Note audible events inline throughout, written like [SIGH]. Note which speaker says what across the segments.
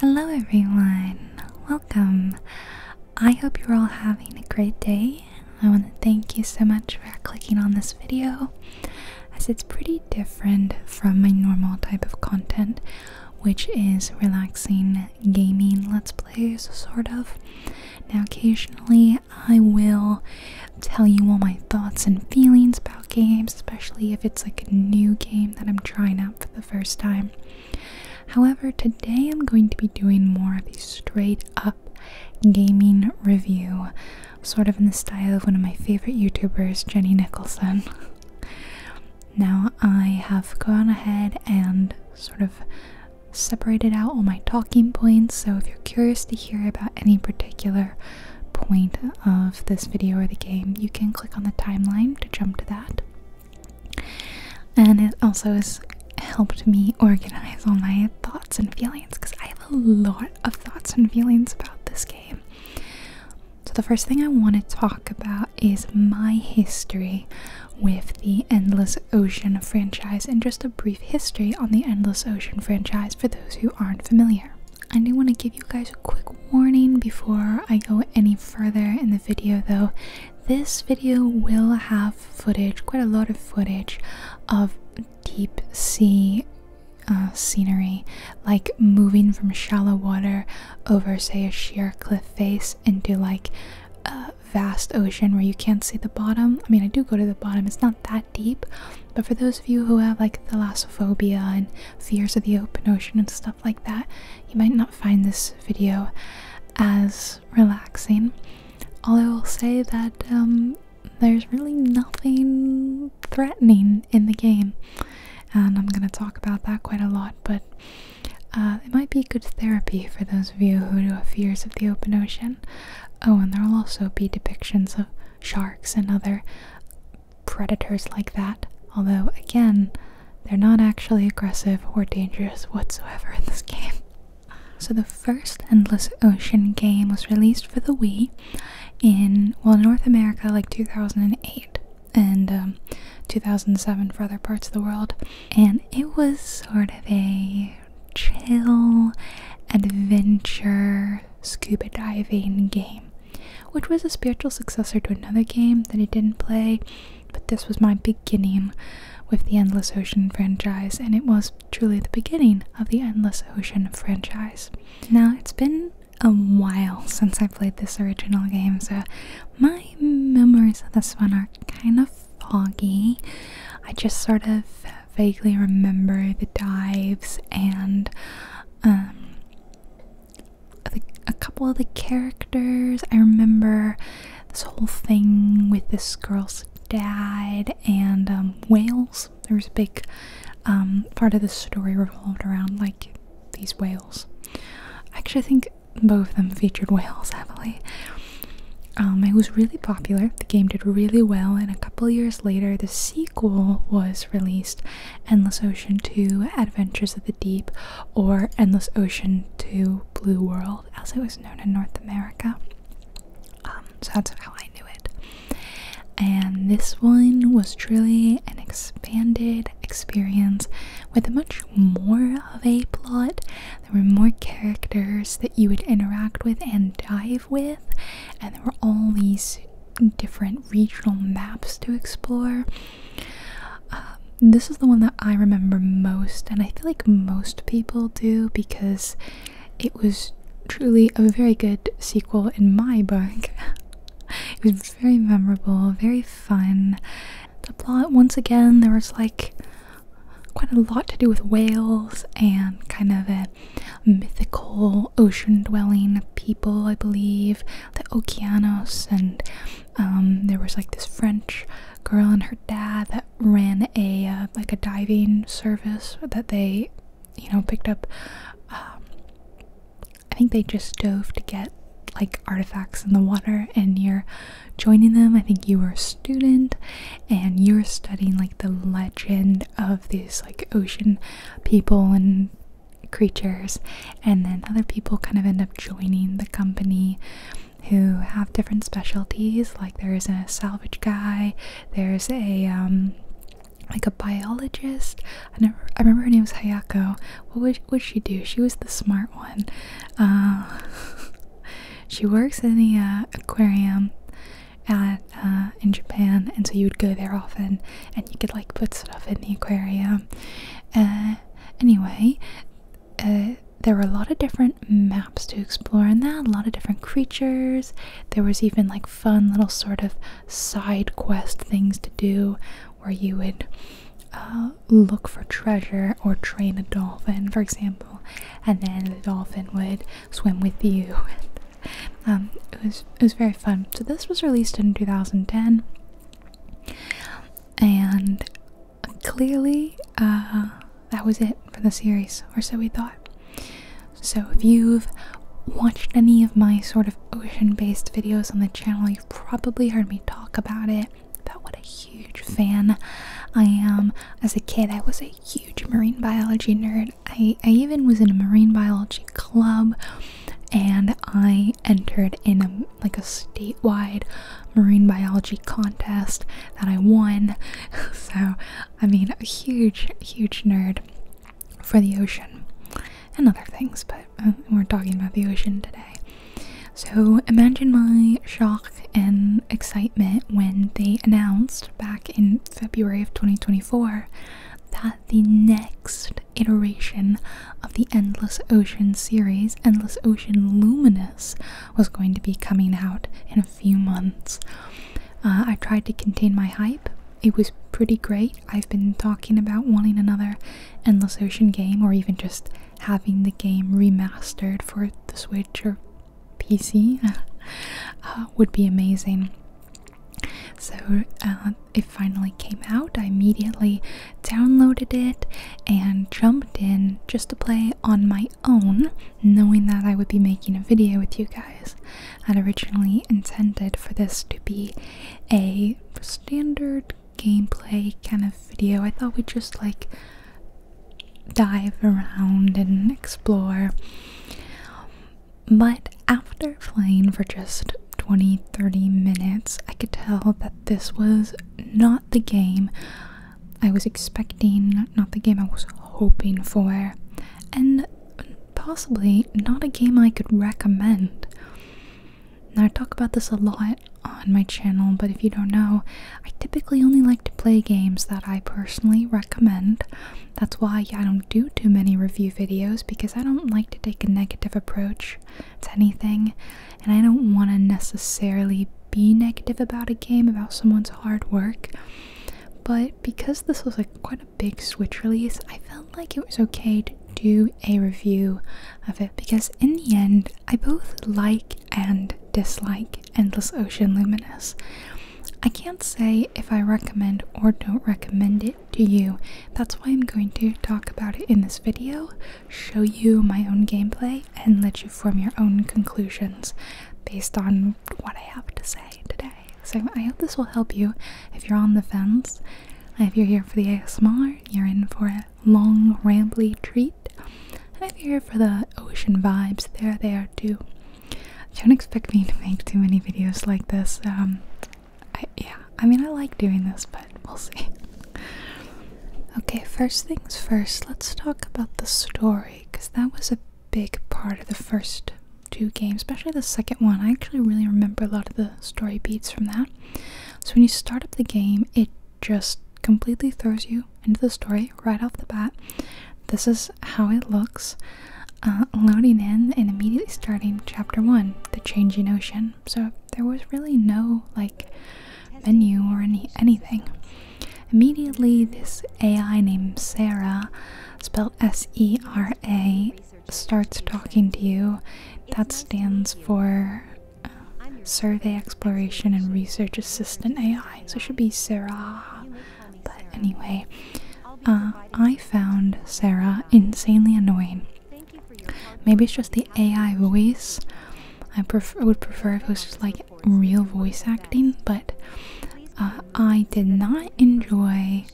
Speaker 1: Hello everyone, welcome. I hope you're all having a great day. I want to thank you so much for clicking on this video as it's pretty different from my normal type of content, which is relaxing gaming let's plays, sort of. Now, occasionally, I will tell you all my thoughts and feelings about games, especially if it's like a new game that I'm trying out for the first time. However, today I'm going to be doing more of a straight up gaming review, sort of in the style of one of my favorite YouTubers, Jenny Nicholson. [LAUGHS] now, I have gone ahead and sort of separated out all my talking points, so if you're curious to hear about any particular point of this video or the game, you can click on the timeline to jump to that. And it also has helped me organize all my thoughts and feelings because I have a lot of thoughts and feelings about this game. So, the first thing I want to talk about is my history with the Endless Ocean franchise and just a brief history on the Endless Ocean franchise for those who aren't familiar. I do want to give you guys a quick warning before I go any further in the video though, this video will have footage, quite a lot of footage, of deep sea uh, scenery, like moving from shallow water over, say, a sheer cliff face into like a vast ocean where you can't see the bottom. I mean, I do go to the bottom, it's not that deep, but for those of you who have like the lassophobia and fears of the open ocean and stuff like that, you might not find this video as relaxing. Although I'll say that um, there's really nothing threatening in the game, and I'm gonna talk about that quite a lot, but uh, it might be good therapy for those of you who have fears of the open ocean. Oh, and there will also be depictions of sharks and other predators like that, although, again, they're not actually aggressive or dangerous whatsoever in this game. [LAUGHS] So, the first Endless Ocean game was released for the Wii in, well, North America, like 2008 and um, 2007 for other parts of the world. And it was sort of a chill adventure scuba diving game which was a spiritual successor to another game that I didn't play, but this was my beginning with the Endless Ocean franchise, and it was truly the beginning of the Endless Ocean franchise. Now, it's been a while since I played this original game, so my memories of this one are kind of foggy. I just sort of vaguely remember the dives and um, a couple of the characters. I remember this whole thing with this girl's dad and um, whales. There was a big um, part of the story revolved around like these whales. I Actually, think both of them featured whales heavily. [LAUGHS] Um, it was really popular. The game did really well, and a couple years later, the sequel was released, Endless Ocean 2 Adventures of the Deep, or Endless Ocean 2 Blue World, as it was known in North America. Um, so that's how I knew it. And this one was truly an expanded experience with much more of a plot. There were more characters that you would interact with and dive with, and there were all these different regional maps to explore um, this is the one that I remember most, and I feel like most people do because it was truly a very good sequel in my book. [LAUGHS] it was very memorable, very fun. The plot, once again, there was like quite a lot to do with whales and kind of a mythical ocean dwelling people, I believe, the Okeanos, and um, there was like this French girl and her dad that ran a uh, like a diving service that they, you know, picked up. Um, I think they just dove to get like artifacts in the water, and you're joining them. I think you were a student, and you're studying like the legend of these like ocean people and creatures, and then other people kind of end up joining the company who have different specialties. Like there is a salvage guy, there's a um, like a biologist. I never, I remember her name was Hayako. What would what she do? She was the smart one. Uh, [LAUGHS] she works in the uh, aquarium at uh, in Japan, and so you would go there often, and you could like put stuff in the aquarium. Uh, Anyway, uh, there were a lot of different maps to explore in that, a lot of different creatures. There was even like fun little sort of side quest things to do where you would uh, look for treasure or train a dolphin, for example, and then the dolphin would swim with you. [LAUGHS] Um, it was it was very fun. So this was released in 2010 and clearly uh, that was it for the series, or so we thought. So if you've watched any of my sort of ocean-based videos on the channel, you've probably heard me talk about it. About what a huge fan I am. As a kid, I was a huge marine biology nerd. I, I even was in a marine biology club, and I entered in a, like a statewide marine biology contest that I won. [LAUGHS] So, I mean, a huge, huge nerd for the ocean and other things, but uh, we're talking about the ocean today. So, imagine my shock and excitement when they announced back in February of 2024 that the next iteration of the Endless Ocean series, Endless Ocean Luminous, was going to be coming out in a few months. Uh, I tried to contain my hype. It was pretty great. I've been talking about wanting another Endless Ocean game or even just having the game remastered for the Switch or PC. [LAUGHS] Uh, would be amazing. So uh, it finally came out, I immediately downloaded it and jumped in just to play on my own, knowing that I would be making a video with you guys. I'd originally intended for this to be a standard gameplay kind of video. I thought we'd just like dive around and explore. But after playing for just 20 30 minutes, I could tell that this was not the game I was expecting, not the game I was hoping for, and possibly not a game I could recommend. Now, I talk about this a lot on my channel, but if you don't know, I typically only like to play games that I personally recommend. That's why I don't do too many review videos because I don't like to take a negative approach to anything, and I don't want to necessarily be negative about a game, about someone's hard work. But because this was like quite a big Switch release, I felt like it was okay to do a review of it because in the end, I both like and dislike Endless Ocean Luminous. I can't say if I recommend or don't recommend it to you. That's why I'm going to talk about it in this video show you my own gameplay and let you form your own conclusions based on what I have to say today. So I hope this will help you if you're on the fence. If you're here for the ASMR, you're in for a long, rambly treat. And if you're here for the ocean vibes, there they are too. Don't expect me to make too many videos like this. Um, I, yeah, I mean, I like doing this, but we'll see. okay, first things first, let's talk about the story because that was a big part of the first two games, especially the second one. I actually really remember a lot of the story beats from that. So when you start up the game, it just completely throws you into the story right off the bat. This is how it looks. Uh, loading in and immediately starting chapter 1 The Changing Ocean. So there was really no like menu or any anything. Immediately, this AI named Sarah, spelled S E R A, starts talking to you. That stands for uh, Survey Exploration and Research Assistant AI. So it should be Sarah. But anyway, uh, I found Sarah insanely annoying. Maybe it's just the AI voice. I would prefer if it was just like real voice acting, but uh, I did not enjoy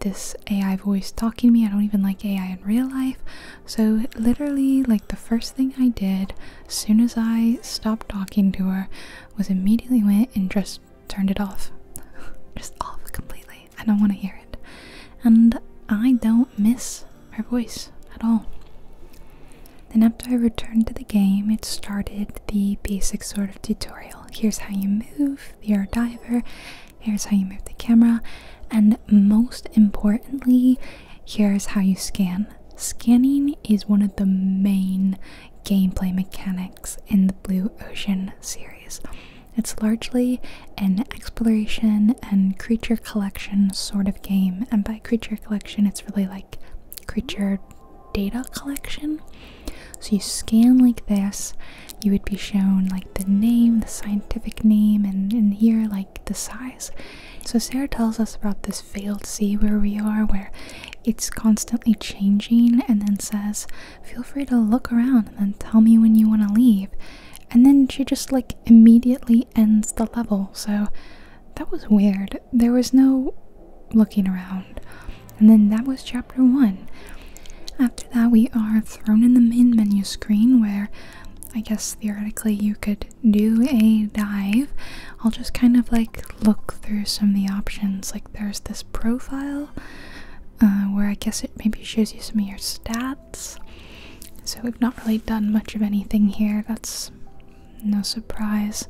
Speaker 1: this AI voice talking to me. I don't even like AI in real life. So literally, like the first thing I did, as soon as I stopped talking to her, was immediately went and just turned it off, [LAUGHS] just off completely. I don't want to hear it, and I don't miss her voice at all. Then, after I returned to the game, it started the basic sort of tutorial. Here's how you move, you diver, here's how you move the camera, and most importantly, here's how you scan. Scanning is one of the main gameplay mechanics in the Blue Ocean series. It's largely an exploration and creature collection sort of game. And by creature collection, it's really like creature data collection. So you scan like this, you would be shown like the name, the scientific name, and in here, like the size. So Sarah tells us about this failed sea where we are, where it's constantly changing, and then says, Feel free to look around and then tell me when you want to leave. And then she just like immediately ends the level. So that was weird. There was no looking around. And then that was chapter one. After that, we are thrown in the main menu screen where I guess theoretically you could do a dive. I'll just kind of like look through some of the options. Like there's this profile uh, where I guess it maybe shows you some of your stats so we've not really done much of anything here, that's no surprise.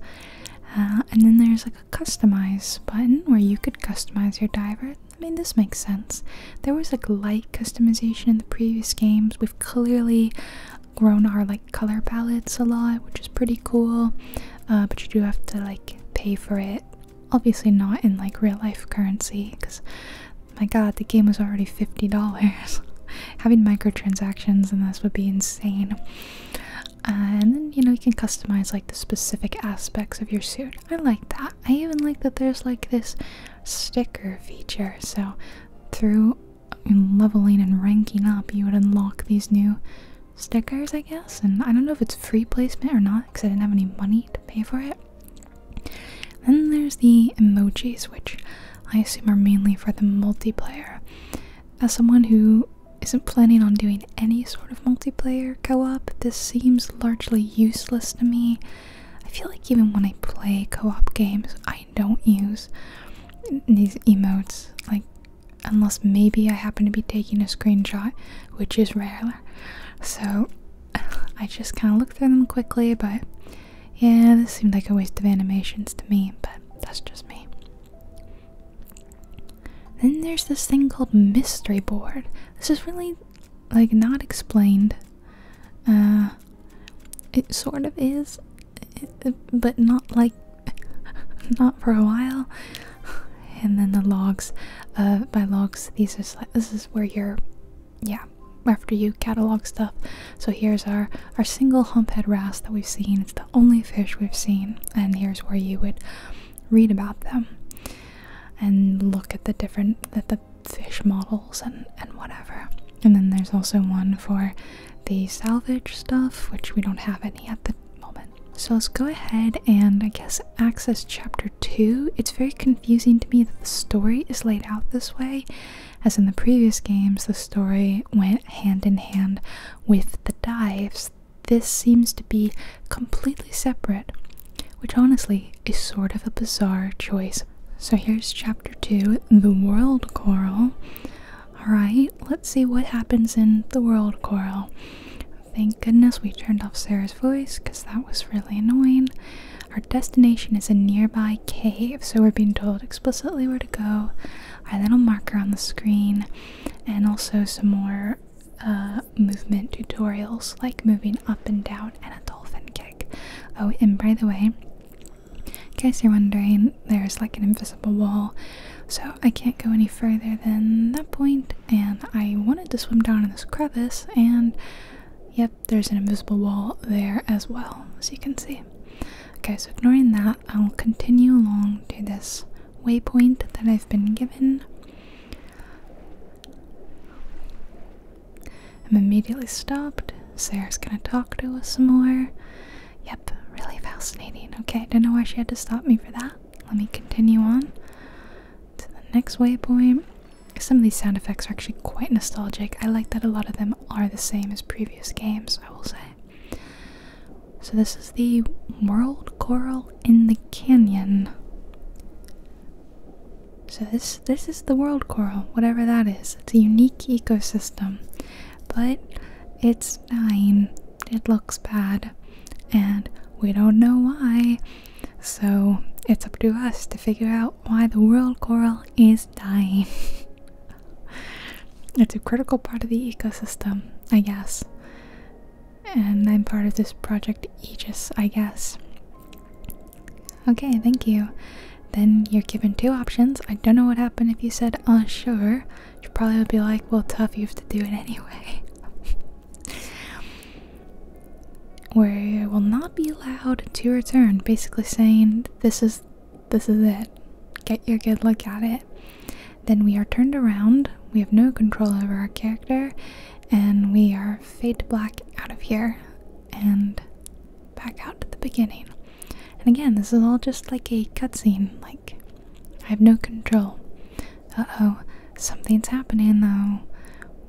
Speaker 1: Uh, and then there's like a customize button where you could customize your diver. I mean, this makes sense. There was like light customization in the previous games. We've clearly grown our like color palettes a lot, which is pretty cool. Uh, but you do have to like pay for it. Obviously, not in like real life currency because my god, the game was already $50. [LAUGHS] Having microtransactions in this would be insane. Uh, and then, you know, you can customize like the specific aspects of your suit. I like that. I even like that there's like this sticker feature. So, through um, leveling and ranking up, you would unlock these new stickers, I guess. And I don't know if it's free placement or not because I didn't have any money to pay for it. Then there's the emojis, which I assume are mainly for the multiplayer. As someone who isn't planning on doing any sort of multiplayer co op, this seems largely useless to me. I feel like even when I play co op games, I don't use these emotes, like, unless maybe I happen to be taking a screenshot, which is rare. So [LAUGHS] I just kind of look through them quickly, but yeah, this seemed like a waste of animations to me, but that's just me. Then there's this thing called Mystery Board. This is really like not explained. Uh, it sort of is, uh, but not like, [LAUGHS] not for a while. And then the logs. Uh, by logs, these are this is where your yeah after you catalog stuff so here's our our single humphead wrasse that we've seen it's the only fish we've seen and here's where you would read about them and look at the different the fish models and and whatever and then there's also one for the salvage stuff which we don't have any at the moment so let's go ahead and i guess access chapter 2 it's very confusing to me that the story is laid out this way as in the previous games, the story went hand in hand with the dives. This seems to be completely separate, which honestly is sort of a bizarre choice. So here's chapter 2 The World Coral. Alright, let's see what happens in The World Coral. Thank goodness we turned off Sarah's voice because that was really annoying. Our destination is a nearby cave, so we're being told explicitly where to go. I little marker on the screen, and also some more uh, movement tutorials like moving up and down and a dolphin kick. Oh, and by the way, in case you're wondering, there's like an invisible wall, so I can't go any further than that point. And I wanted to swim down in this crevice, and yep, there's an invisible wall there as well, as you can see. Okay, so ignoring that, I will continue along to this waypoint that I've been given. I'm immediately stopped. Sarah's gonna talk to us some more. Yep, really fascinating. Okay, I don't know why she had to stop me for that. Let me continue on to the next waypoint. Some of these sound effects are actually quite nostalgic. I like that a lot of them are the same as previous games, I will say. So, this is the World Coral in the Canyon. So this this is the world coral, whatever that is. It's a unique ecosystem, but it's fine. It looks bad, and we don't know why. So it's up to us to figure out why the world coral is dying. [LAUGHS] it's a critical part of the ecosystem, I guess. And I'm part of this project Aegis, I guess. Okay, thank you. Then you're given two options. I don't know what happened if you said, uh, sure. You probably would be like, well, tough, you have to do it [LAUGHS] anyway. Where will not be allowed to return, basically saying this is this is it. Get your good look at it. Then we are turned around. We have no control over our character, and we are fade to black out of here and back out to the beginning. And again, this is all just like a cutscene. Like I have no control. Uh oh, something's happening though.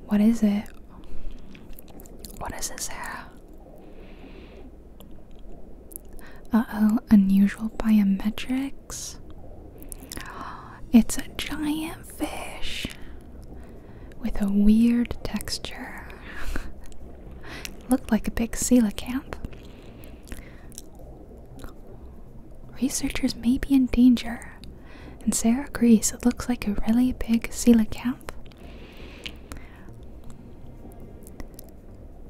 Speaker 1: What is it? What is this Sarah? Uh oh, unusual biometrics. It's a giant fish with a weird texture. [LAUGHS] Looked like a big coelacanth. Researchers may be in danger, and Sarah agrees it looks like a really big coelacanth.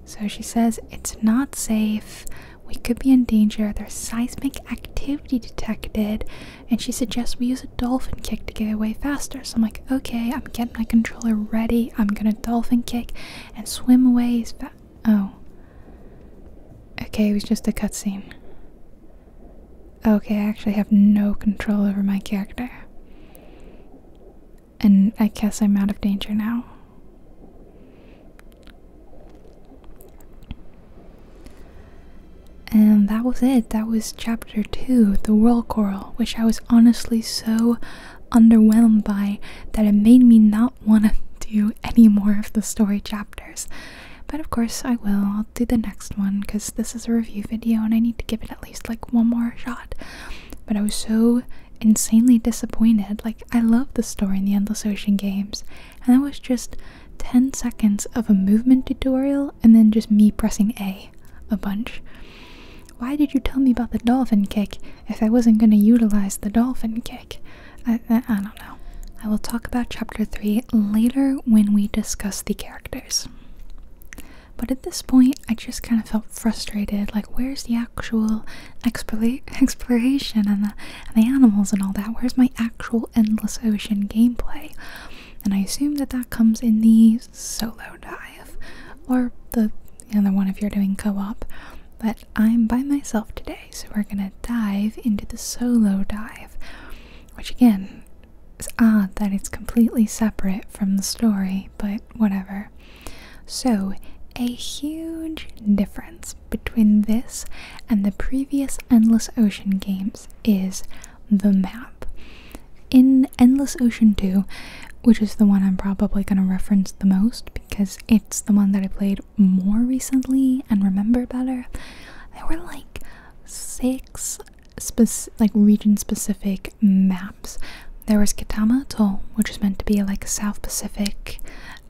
Speaker 1: So she says it's not safe. We could be in danger. There's seismic activity detected, and she suggests we use a dolphin kick to get away faster. So I'm like, okay, I'm getting my controller ready. I'm gonna dolphin kick and swim away Is that? Oh. Okay, it was just a cutscene. Okay, I actually have no control over my character. And I guess I'm out of danger now. And that was it. That was chapter two, the whirl coral, which I was honestly so underwhelmed by that it made me not want to [LAUGHS] do any more of the story chapters. But of course, I will. I'll do the next one because this is a review video and I need to give it at at least like one more shot. But I was so insanely disappointed. Like, I love the story in the Endless Ocean games, and that was just 10 seconds of a movement tutorial and then just me pressing A a bunch. Why did you tell me about the dolphin kick if I wasn't going to utilize the dolphin kick? I, I don't know. I will talk about chapter 3 later when we discuss the characters. But at this point, I just kind of felt frustrated. Like, where's the actual [LAUGHS] exploration and the, animals and all that? Where's my actual endless ocean gameplay? And I assume that that comes in the solo dive, or the other you one if you're doing co-op. But I'm by myself today, so we're gonna dive into the solo dive, which again it's odd that it's completely separate from the story, but whatever. So, a huge difference between this and the previous Endless Ocean games is the map. In Endless Ocean 2, which is the one I'm probably going to reference the most because it's the one that I played more recently and remember better, there were like six like region specific maps. There was Kitama Atoll, which was meant to be like a South Pacific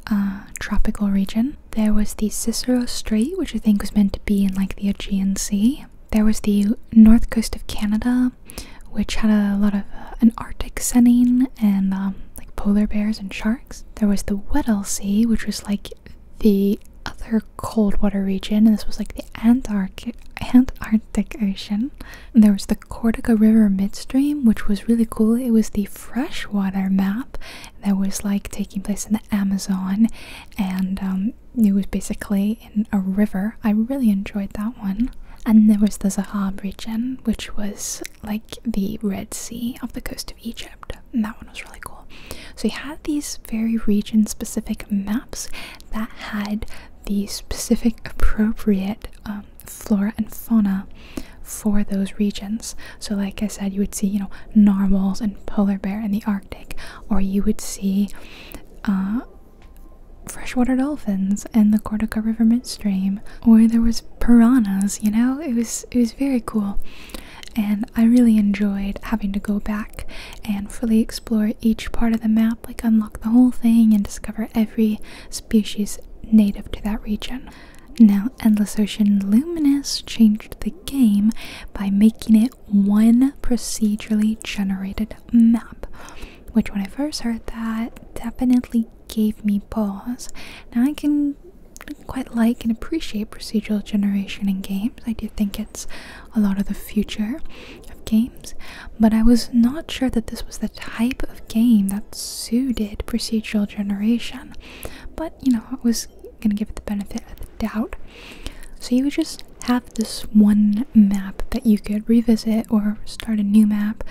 Speaker 1: uh, tropical region. There was the Cicero Strait, which I think was meant to be in like the Aegean Sea. There was the north coast of Canada, which had a lot of uh, an Arctic setting and um, like polar bears and sharks. There was the Weddell Sea, which was like the other cold water region, and this was like the Antarctic, Antar Arctic Ocean. And there was the Cortica River midstream, which was really cool. It was the freshwater map that was like taking place in the Amazon, and um, it was basically in a river. I really enjoyed that one. And there was the Zahab region, which was like the Red Sea off the coast of Egypt. And that one was really cool. So you had these very region specific maps that had the specific appropriate um, flora and fauna for those regions. So, like I said, you would see, you know, narwhals and polar bear in the Arctic, or you would see uh, freshwater dolphins in the Cordoca River midstream, or there was piranhas. You know, it was it was very cool, and I really enjoyed having to go back and fully explore explore each part of the map, like unlock the whole thing and discover every species native to that region. Now, Endless Ocean Luminous changed the game by making it one procedurally generated map, which when I first heard that definitely gave me pause. Now, I can quite like and appreciate procedural generation in games. I do think it's a lot of the future of games, but I was not sure that this was the type of game that suited procedural generation. But you know, I was gonna give it the benefit of the doubt. So you would just have this one map that you could revisit or start a new map,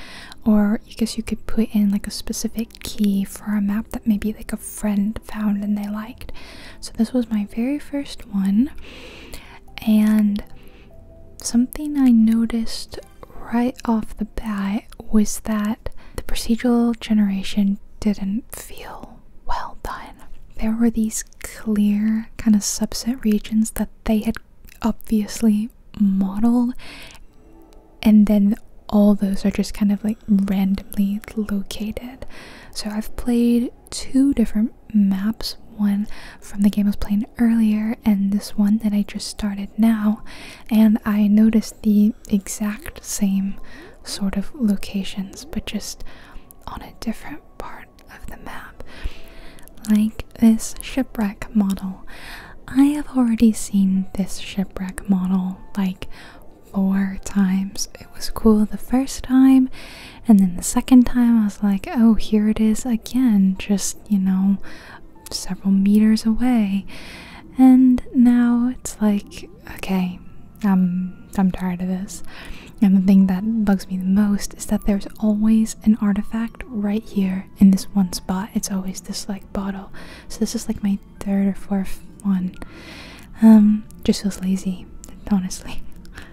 Speaker 1: or I guess you could put in like a specific key for a map that maybe like a friend found and they liked. So this was my very first one, and Something I noticed right off the bat was that the procedural generation didn't feel well done. There were these clear kind of subset regions that they had obviously modeled, and then all those are just kind of like randomly located. So I've played two different maps one from the game I was playing earlier, and this one that I just started now. And I noticed the exact same sort of locations, but just on a different part of the map. Like this shipwreck model. I have already seen this shipwreck model like four times. It was cool the first time, and then the second time, I was like, oh, here it is again, just, you know, several meters away. And now it's like, okay, I'm I'm tired of this. And the thing that bugs me the most is that there's always an artifact right here in this one spot. It's always this like bottle. So this is like my third or fourth one. Um, just feels lazy, honestly.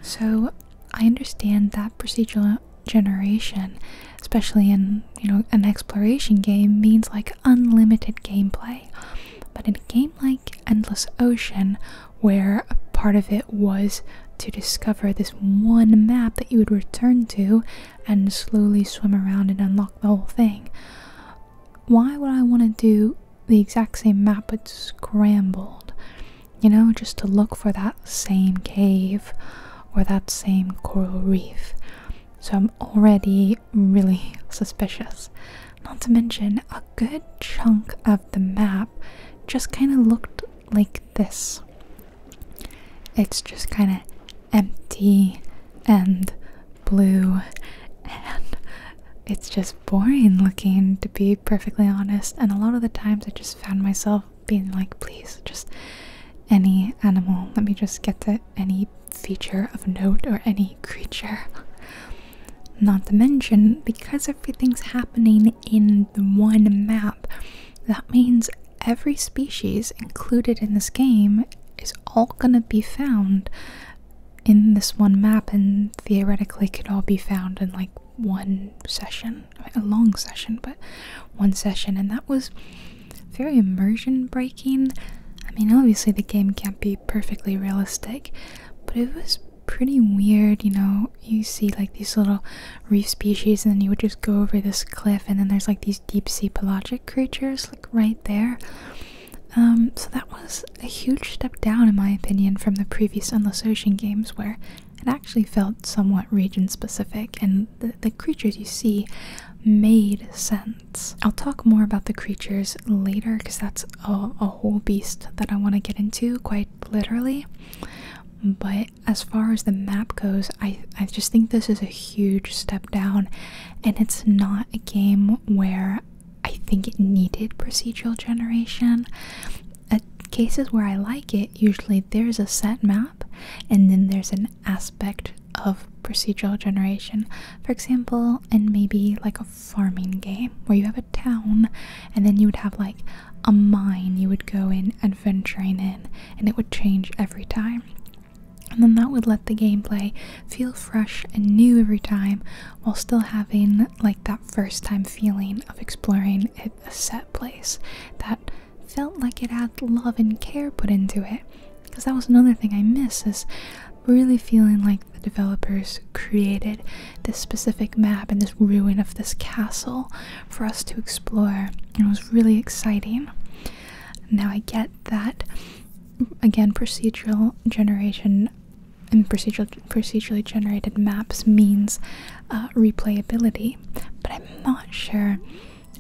Speaker 1: So I understand that procedural generation, especially in you know an exploration game, means like unlimited gameplay. But in a game like Endless Ocean, where a part of it was to discover this one map that you would return to and slowly swim around and unlock the whole thing, why would I want to do the exact same map but scrambled? you know, just to look for that same cave or that same coral reef. So I'm already really [LAUGHS] suspicious. Not to mention, a good chunk of the map just kind of looked like this. It's just kind of empty and blue, [LAUGHS] and it's just boring looking to be perfectly honest, and a lot of the times I just found myself being like, please, just any animal. Let me just get to any feature of note or any creature. Not to mention, because everything's happening in the one map, that means every species included in this game is all gonna be found in this one map and theoretically could all be found in like one session, a long session, but one session, and that was very immersion breaking. I mean, obviously, the game can't be perfectly realistic, but it was pretty weird. You know, you see like these little reef species, and then you would just go over this cliff, and then there's like these deep sea pelagic creatures, like right there. Um, so that was a huge step down, in my opinion, from the previous Endless Ocean games, where it actually felt somewhat region specific, and the, creatures you see made sense. I'll talk more about the creatures later because that's a, a whole beast that I want to get into quite literally. But as far as the map goes, I, I just think this is a huge step down, and it's not a game where I think it needed procedural generation at cases where I like it, usually there's a set map and then there's an aspect of procedural generation. For example, in maybe like a farming game where you have a town and then you would have like a mine you would go in adventuring in and it would change every time. And then that would let the gameplay feel fresh and new every time while still having like that first time feeling of exploring a set place that felt like it had love and care put into it because that was another thing i miss is really feeling like the developers created this specific map and this ruin of this castle for us to explore and it was really exciting now i get that again procedural generation and procedural procedurally generated maps means uh, replayability, but I'm not sure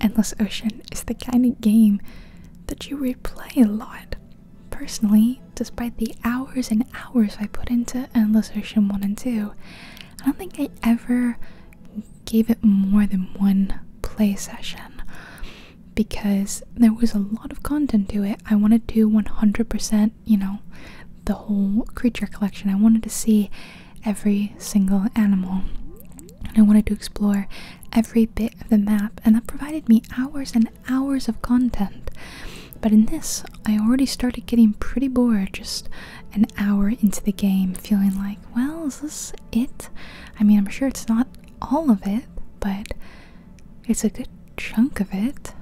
Speaker 1: Endless Ocean is the kind of game that you replay a lot. Personally, despite the hours and hours I put into Endless Ocean 1 and 2, I don't think I ever gave it more than one play session because there was a lot of content to it. I wanted to 100% you know, the whole creature collection. I wanted to see every single animal. And I wanted to explore every bit of the map, and that provided me hours and hours of content. But in this, I already started getting pretty bored just an hour into the game, feeling like, well, is this it? I mean, I'm sure it's not all of it, but it's a good chunk of it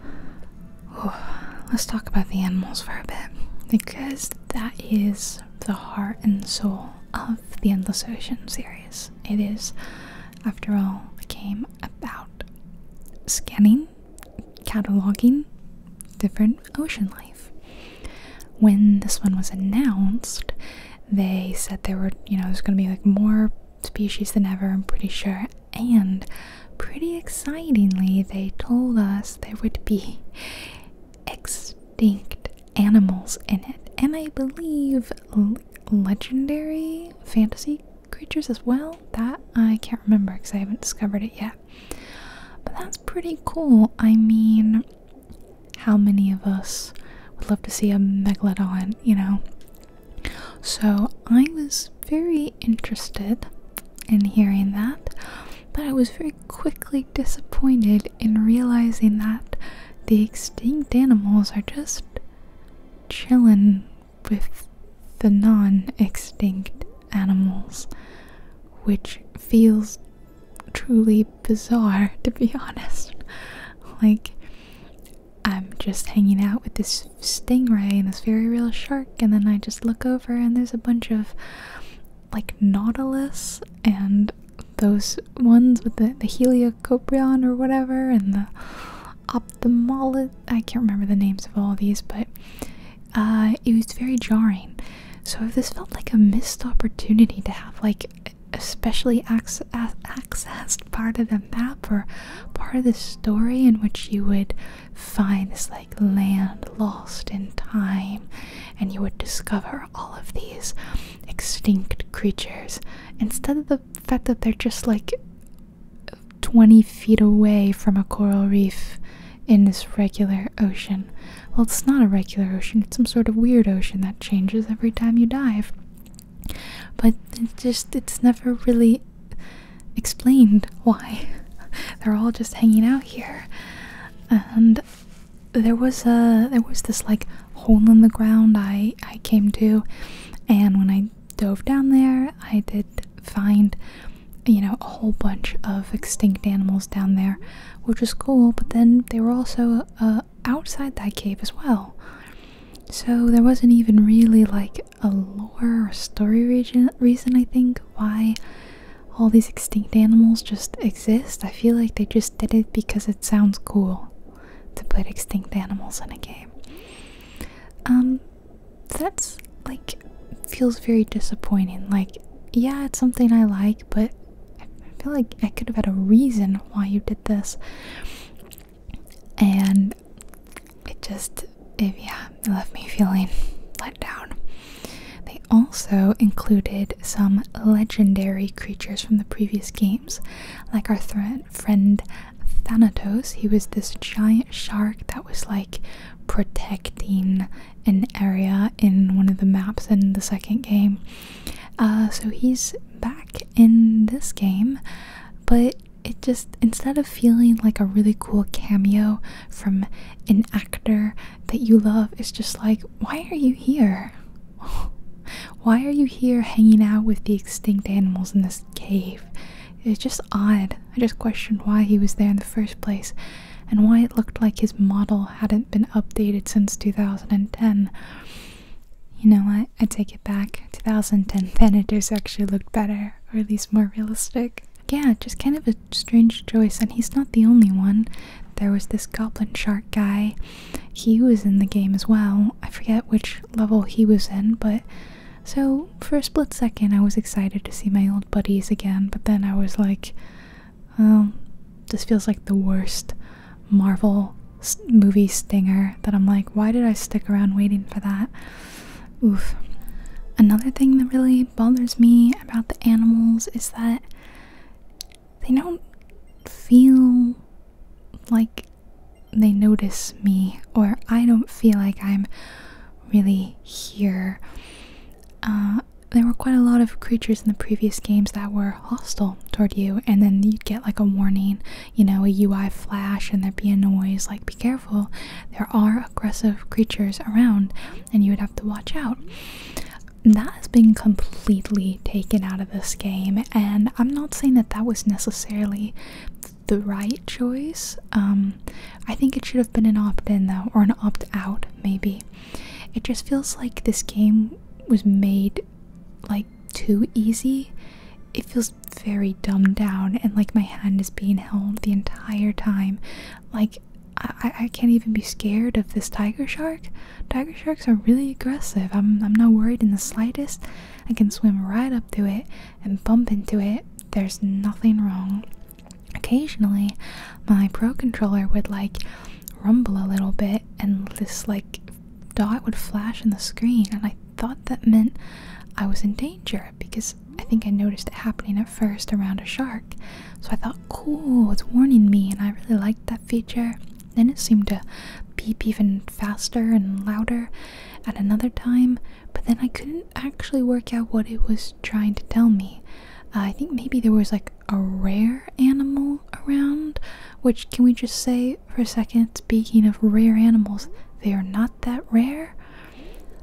Speaker 1: let's talk about the animals for a bit because that is the heart and soul of the Endless Ocean series. It is, after all, a game about scanning, cataloging different ocean life. When this one was announced, they said there were, you know, there's going to be like more species than ever, I'm pretty sure, and pretty excitingly, they told us there would be extinct animals in it, and I believe legendary fantasy creatures as well. That I can't remember because I haven't discovered it yet. But that's pretty cool. I mean, how many of us would love to see a megalodon, you know? So I was very interested in hearing that, but I was very quickly disappointed in realizing that the extinct animals are just chilling with the non extinct animals, which feels truly bizarre to be [LAUGHS] honest. like, I'm just hanging out with this stingray and this very real shark and then I just look over and there's a bunch of like nautilus and those ones with the, the or whatever and the ophthalmolid I can't remember the names of all these but uh, it was very jarring so this felt like a missed opportunity to have like especially accessed part of the map or part of the story in which you would find this like land lost in time and you would discover all of these extinct creatures instead of the fact that they're just like 20 feet away from a coral reef in this regular ocean. Well, it's not a regular ocean, it's some sort of weird ocean that changes every time you dive. But it just, it's never really explained why [LAUGHS] they're all just hanging out here. And there was a there was this like hole in the ground I I came to, and when I dove down there, I did find you know a whole bunch of extinct animals down there, which was cool. But then they were also uh, outside that cave as well. So there wasn't even really like a lore or story region reason I think why all these extinct animals just exist. I feel like they just did it because it sounds cool to put extinct animals in a game. Um, that's like feels very disappointing. Like, yeah, it's something I like, but I feel like I could have had a reason why you did this, and it just it, yeah, it left me feeling let down. They also included some legendary creatures from the previous games, like our friend Thanatos. He was this giant shark that was like protecting an area in one of the maps in the second game. Uh, so he's back in this game, but it just instead of feeling like a really cool cameo, from an actor that you love is just like, why are you here? [LAUGHS] Why are you here hanging out with the extinct animals in this cave? It's just odd. I just questioned why he was there in the first place and why it looked like his model hadn't been updated since 2010. You know what? I take it back. 2010 Thanatos actually looked better, or at least more realistic yeah, just kind of a strange choice. And he's not the only one. There was this goblin shark guy. He was in the game as well. I forget which level he was in, but so for a split second, I was excited to see my old buddies again. But then I was like, oh, this feels like the worst Marvel movie stinger that I'm like, why did I stick around waiting for that? Oof. Another thing that really bothers me about the animals is that they don't feel like they notice me, or I don't feel like I'm really here. Uh, there were quite a lot of creatures in the previous games that were hostile toward you, and then you'd get like a warning, you know, a UI flash, and there'd be a noise like, be careful, there are aggressive creatures around and you would have to watch out. That has been completely taken out of this game, and I'm not saying that that was necessarily the right choice. Um, I think it should have been an opt in, though, or an opt out, maybe. It just feels like this game was made like too easy. It feels very dumbed down, and like my hand is being held the entire time. Like, I, can't even be scared of this tiger shark. Tiger sharks are really aggressive. I'm I'm not worried in the slightest. I can swim right up to it and bump into it. There's nothing wrong. Occasionally, my pro controller would like rumble a little bit, and this like dot would flash on the screen, and I thought that meant I was in danger because I think I noticed it happening at first around a shark. So I thought, cool, it's warning me, and I really liked that feature. Then it seemed to beep even faster and louder at another time, but then I couldn't actually work out what it was trying to tell me. Uh, I think maybe there was like a rare animal around, which can we just say for a second, speaking of rare animals, they are not that rare.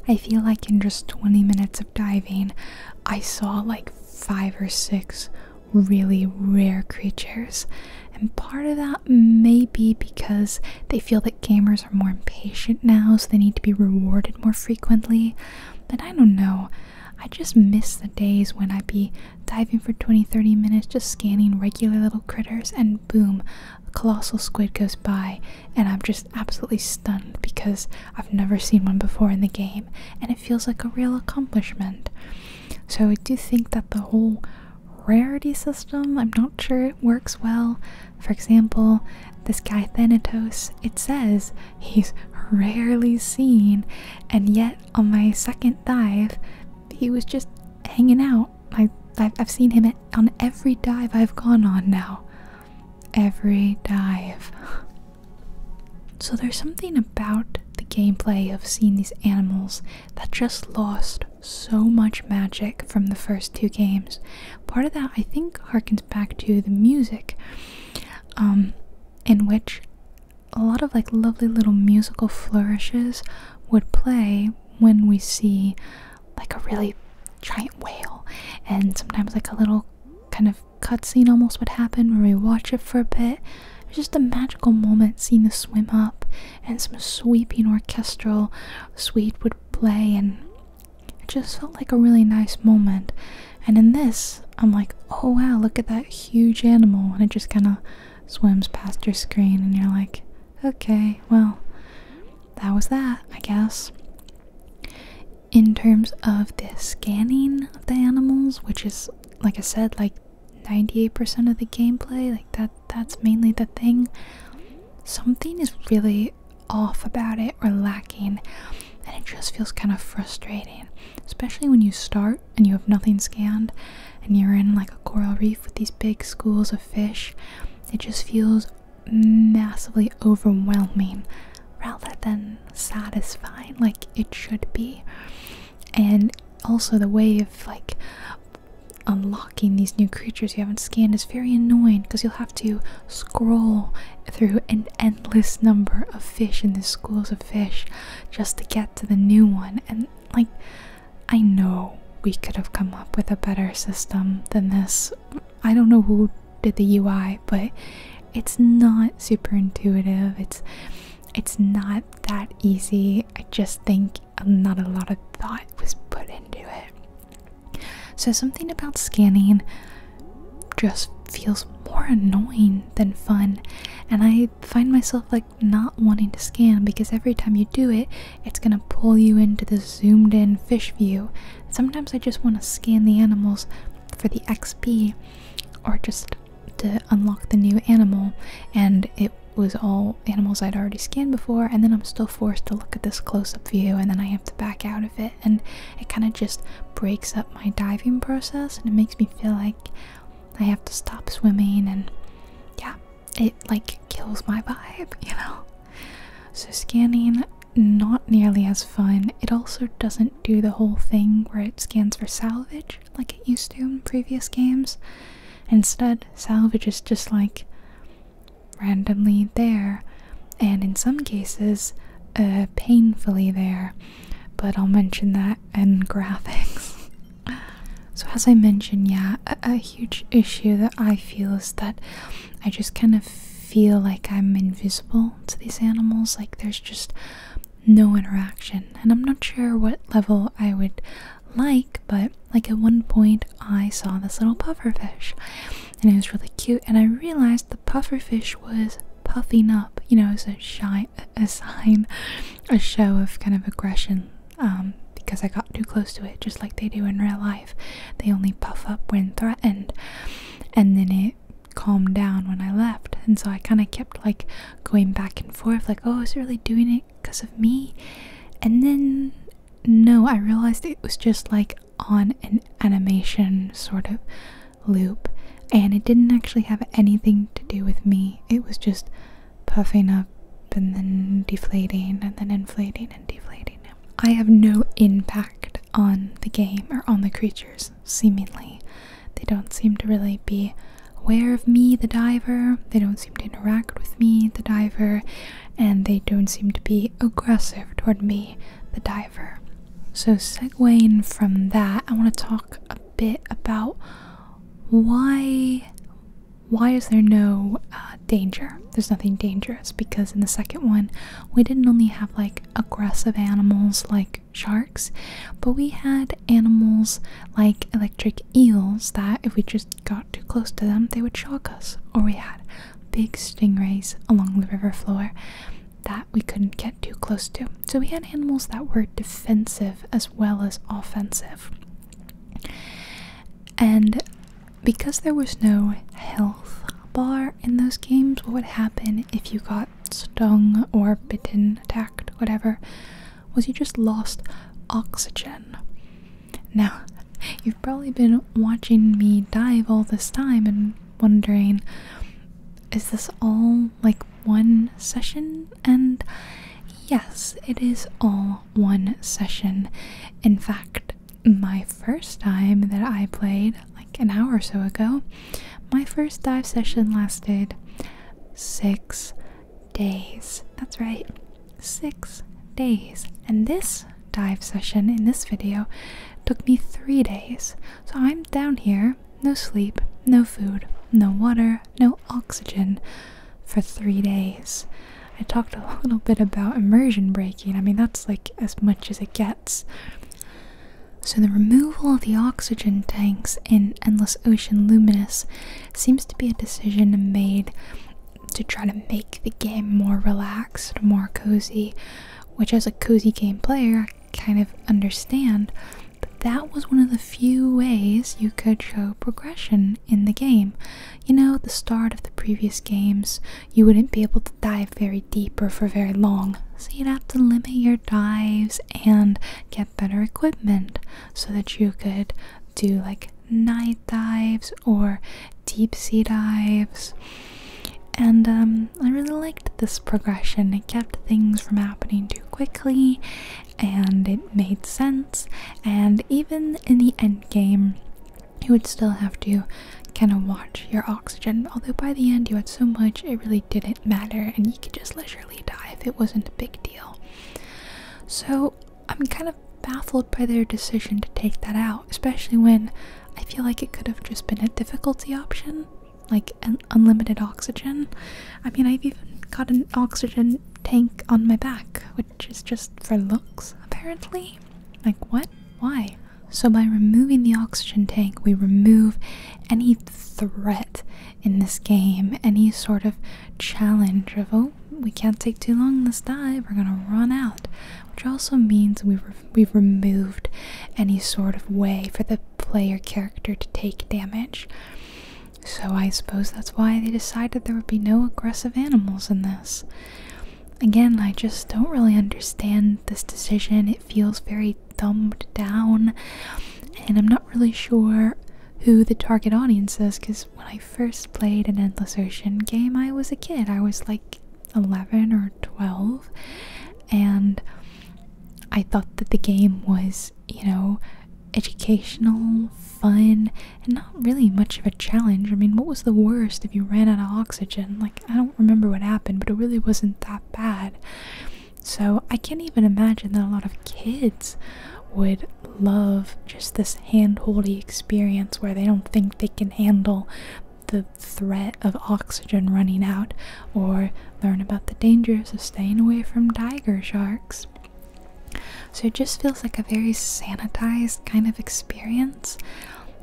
Speaker 1: I feel like in just 20 minutes of diving, I saw like five or six really rare creatures. And part of that may be because they feel that gamers are more impatient now, so they need to be rewarded more frequently. But I don't know. I just miss the days when I'd be diving for 20 30 minutes, just scanning regular little critters, and boom, a colossal squid goes by and I'm just absolutely stunned because I've never seen one before in the game and it feels like a real accomplishment. So I do think that the whole rarity system, I'm not sure it works well. For example, this guy Thanatos, it says he's rarely seen, and yet on my second dive, he was just hanging out. I, I've seen him on every dive I've gone on now every dive. So there's something about the gameplay of seeing these animals that just lost so much magic from the first two games. Part of that I think harkens back to the music, um, in which a lot of like lovely little musical flourishes would play when we see like a really giant whale and sometimes like a little kind of cutscene almost would happen where we watch it for a bit. It's just a magical moment seeing the swim up and some sweeping orchestral suite would play and it just felt like a really nice moment. And in this, I'm like, oh wow, look at that huge animal and it just kinda swims past your screen and you're like, okay, well, that was that, I guess in terms of the scanning of the animals which is like i said like 98% of the gameplay like that that's mainly the thing something is really off about it or lacking and it just feels kind of frustrating especially when you start and you have nothing scanned and you're in like a coral reef with these big schools of fish it just feels massively overwhelming rather than satisfying like it should be and also the way of like unlocking these new creatures you haven't scanned is very annoying because you'll have to scroll through an endless number of fish in the schools of fish just to get to the new one and like i know we could have come up with a better system than this i don't know who did the UI, but it's not super intuitive. It's it's not that easy. I just think not a lot of thought was put into it. So something about scanning just feels more annoying than fun. And I find myself like not wanting to scan because every time you do it, it's gonna pull you into the zoomed in fish view Sometimes I just want to scan the animals for the XP or just to unlock the new animal, and it was all animals I'd already scanned before, and then I'm still forced to look at this close up view, and then I have to back out of it, and it kind of just breaks up my diving process, and it makes me feel like I have to stop swimming, and yeah, it like kills my vibe, [LAUGHS] you know? So, scanning not nearly as fun. It also doesn't do the whole thing where it scans for salvage like it used to in previous games. Instead, salvage is just like randomly there, and in some cases, uh, painfully there. But I'll mention that in [LAUGHS] graphics. so, as I mentioned, yeah, a huge issue that I feel is that I just kind of feel like I'm invisible to these animals, like there's just no interaction. And I'm not sure what level I would like, but like at one point I saw this little puffer fish, and it was really cute, and I realized the puffer fish was puffing up, you know, as a, a sign, a show of kind of aggression. Um, because I got too close to it, just like they do in real life. They only puff up when threatened. And then it it calmed down when I left. And so I kind of kept like going back and forth, like, oh, is it really doing it because of me? And then, no, I realized it was just like on an animation sort of loop. And it didn't actually have anything to do with me, it was just puffing up and then deflating and then inflating and deflating. I have no impact on the game or on the creatures, seemingly. They don't seem to really be aware of me, the diver. They don't seem to interact with me, the diver. And they don't seem to be aggressive toward me, the diver. So, segueing from that, I want to talk a bit about why why is there no uh, danger? There's nothing dangerous because in the second one, we didn't only have like aggressive animals like sharks, but we had animals like electric eels that if we just got too close to them, they would shock us. Or we had big stingrays along the river floor that we couldn't get too close to. So we had animals that were defensive as well as offensive. And because there was no health bar in those games, what would happen if you got stung or bitten, attacked, whatever, was you just lost oxygen. Now, [LAUGHS] you've probably been watching me dive all this time and wondering, is this all like one session? And yes, it is all one session. In fact, my first time that I played, an hour or so ago. My first dive session lasted six days. That's right, six days. And this dive session in this video took me three days. So I'm down here, no sleep, no food, no water, no oxygen for three days. I talked a [LAUGHS] little bit about immersion breaking. I mean, that's like as much as it gets. So, the removal of the oxygen tanks in Endless Ocean Luminous seems to be a decision made to try to make the game more relaxed, more cozy, which, as a cozy game player, I kind of understand. But that was one of the few ways you could show progression in the game. You know, the start of the previous games you wouldn't be able to dive very deep or for very long. So you'd have to limit your dives and get better equipment so that you could do like night dives or deep sea dives. And um, I really liked this progression. It kept things from happening too quickly and it made sense. And even in the end game, you would still have to kind of watch your oxygen. Although by the end you had so much, it really didn't matter, and you could just leisurely die if it wasn't a big deal. So I'm kind of baffled by their decision to take that out, especially when I feel like it could have just been a difficulty option, like an unlimited oxygen. I mean, I've even got an oxygen tank on my back, which is just for looks, apparently. Like, what? Why? So, by removing the oxygen tank, we remove any threat in this game, any sort of challenge of, oh, we can't take too long in this dive, we're gonna run out. Which also means we we've removed any sort of way for the player character to take damage. So, I suppose that's why they decided there would be no aggressive animals in this. Again, I just don't really understand this decision. It feels very thumbed down, and I'm not really sure who the target audience is because when I first played an Endless Ocean game, I was a kid. I was like 11 or 12, and I thought that the game was, you know, educational, fun, and not really much of a challenge. I mean, what was the worst if you ran out of oxygen? Like, I don't remember what happened, but it really wasn't that bad. So I can't even imagine that a lot of kids would love just this hand-holdy experience where they don't think they can handle the threat of oxygen running out or learn about the dangers of staying away from tiger sharks. So it just feels like a very sanitized kind of experience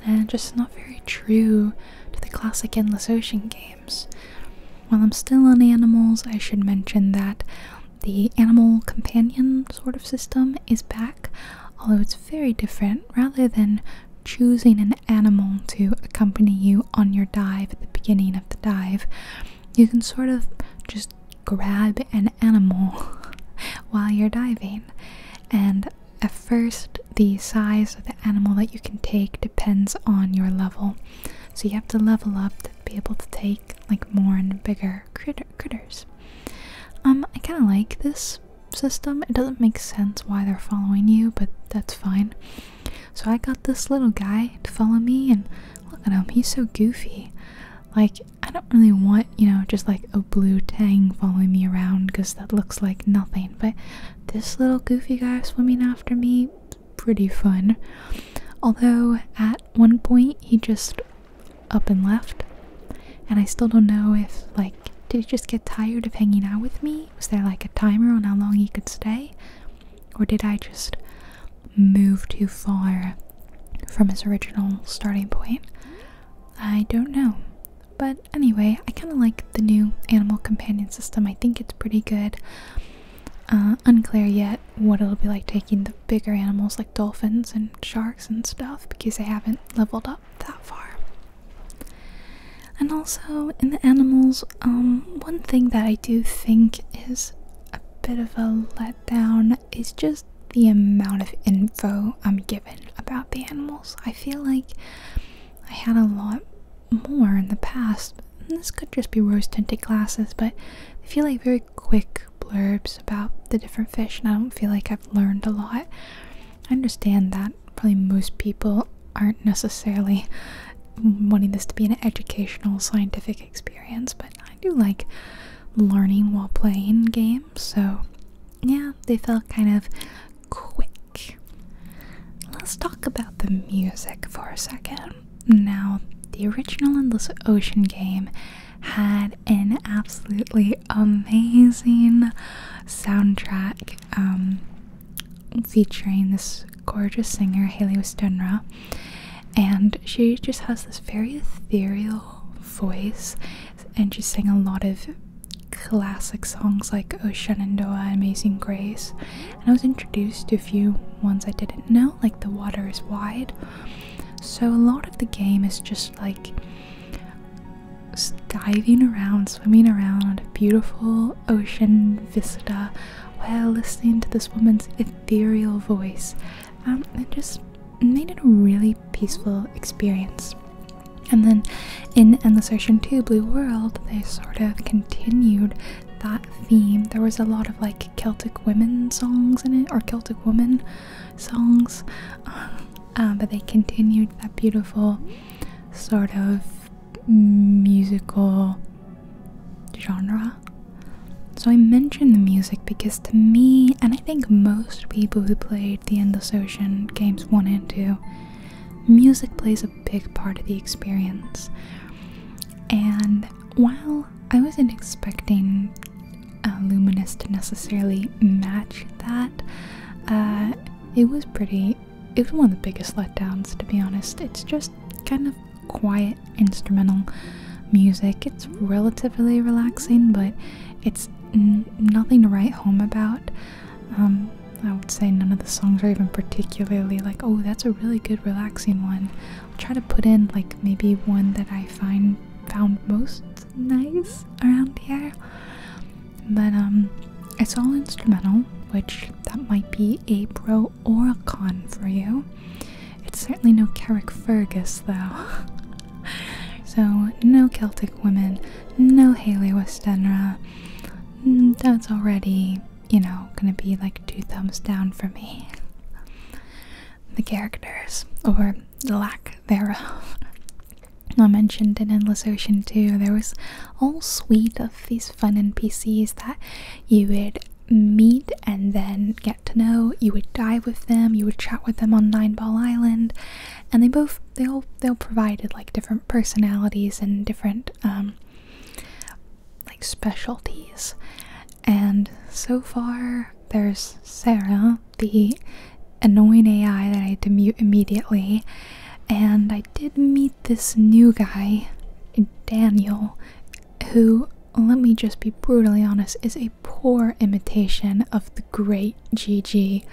Speaker 1: and just not very true to the classic Endless Ocean games. While I'm still on animals, I should mention that the animal companion sort of system is back, although it's very different. Rather than choosing an animal to accompany you on your dive at the beginning of the dive, you can sort of just grab an animal [LAUGHS] while you're diving. And at first, the size of the animal that you can take depends on your level. So you have to level up to be able to take like more and bigger critter critters. Um, I kind of like this system. It doesn't make sense why they're following you, but that's fine. So I got this little guy to follow me, and look at him. He's so goofy. Like I don't really want you know just like a blue tang following me around because that looks like nothing. But this little goofy guy swimming after me, pretty fun. Although at one point he just up and left, and I still don't know if, like, did he just get tired of hanging out with me? Was there like a timer on how long he could stay? Or did I just move too far from his original starting point? I don't know. But anyway, I kind of like the new animal companion system. I think it's pretty good. Uh, unclear yet what it'll be like taking the bigger animals like dolphins and sharks and stuff because I haven't leveled up that far. And also in the animals, um, one thing that I do think is a bit of a letdown is just the amount of info I'm given about the animals. I feel like I had a lot more in the past. This could just be rose tinted glasses, but I feel like very quick blurbs about the different fish, and I don't feel like I've learned a lot. I understand that probably most people aren't necessarily wanting this to be an educational, scientific experience, but I do like learning while playing games, so yeah, they felt kind of quick. Let's talk about the music for a second. Now, the original Endless Ocean game had an absolutely amazing soundtrack um, featuring this gorgeous singer, Haley Westenra, and she just has this very ethereal voice, and she sang a lot of classic songs like Oh Shenandoah, Amazing Grace. And I was introduced to a few ones I didn't know, like The Water is Wide. So a lot of the game is just like diving around, swimming around beautiful ocean vista while listening to this woman's ethereal voice. Um, and just made it a really peaceful experience. And then in Endless Ocean 2 Blue World, they sort of continued that theme. There was a lot of like Celtic women songs in it, or Celtic woman songs, [LAUGHS] um, but they continued that beautiful sort of musical genre. So I mention the music because to me, and I think most people who played the Endless Ocean games 1 and 2, music plays a big part of the experience. And while I wasn't expecting uh, Luminous to necessarily match that, uh, it was pretty. It was one of the biggest letdowns, to be honest. It's just kind of quiet instrumental music. It's relatively relaxing, but it's nothing to write home about. Um, I would say none of the songs are even particularly like, oh, that's a really good relaxing one. I'll try to put in like maybe one that I find found most nice around here. But um it's all instrumental, which that might be a pro or a con for you. It's certainly no Carrick Fergus though. [LAUGHS] so no Celtic women, no Haley Westenra, mm, that's already, you know, gonna be like two thumbs down for me. the characters, or the lack thereof. [LAUGHS] I mentioned in Endless Ocean 2, there was a whole suite of these fun NPCs that you would meet and then get to know. You would dive with them, you would chat with them on Nineball Island, and they both they all they all provided like different personalities and different um, like specialties. And so far, there's Sarah, the annoying AI that I had to mute immediately, and I did meet this new guy, Daniel, who, let me just be brutally honest, is a poor imitation of the great Gigi.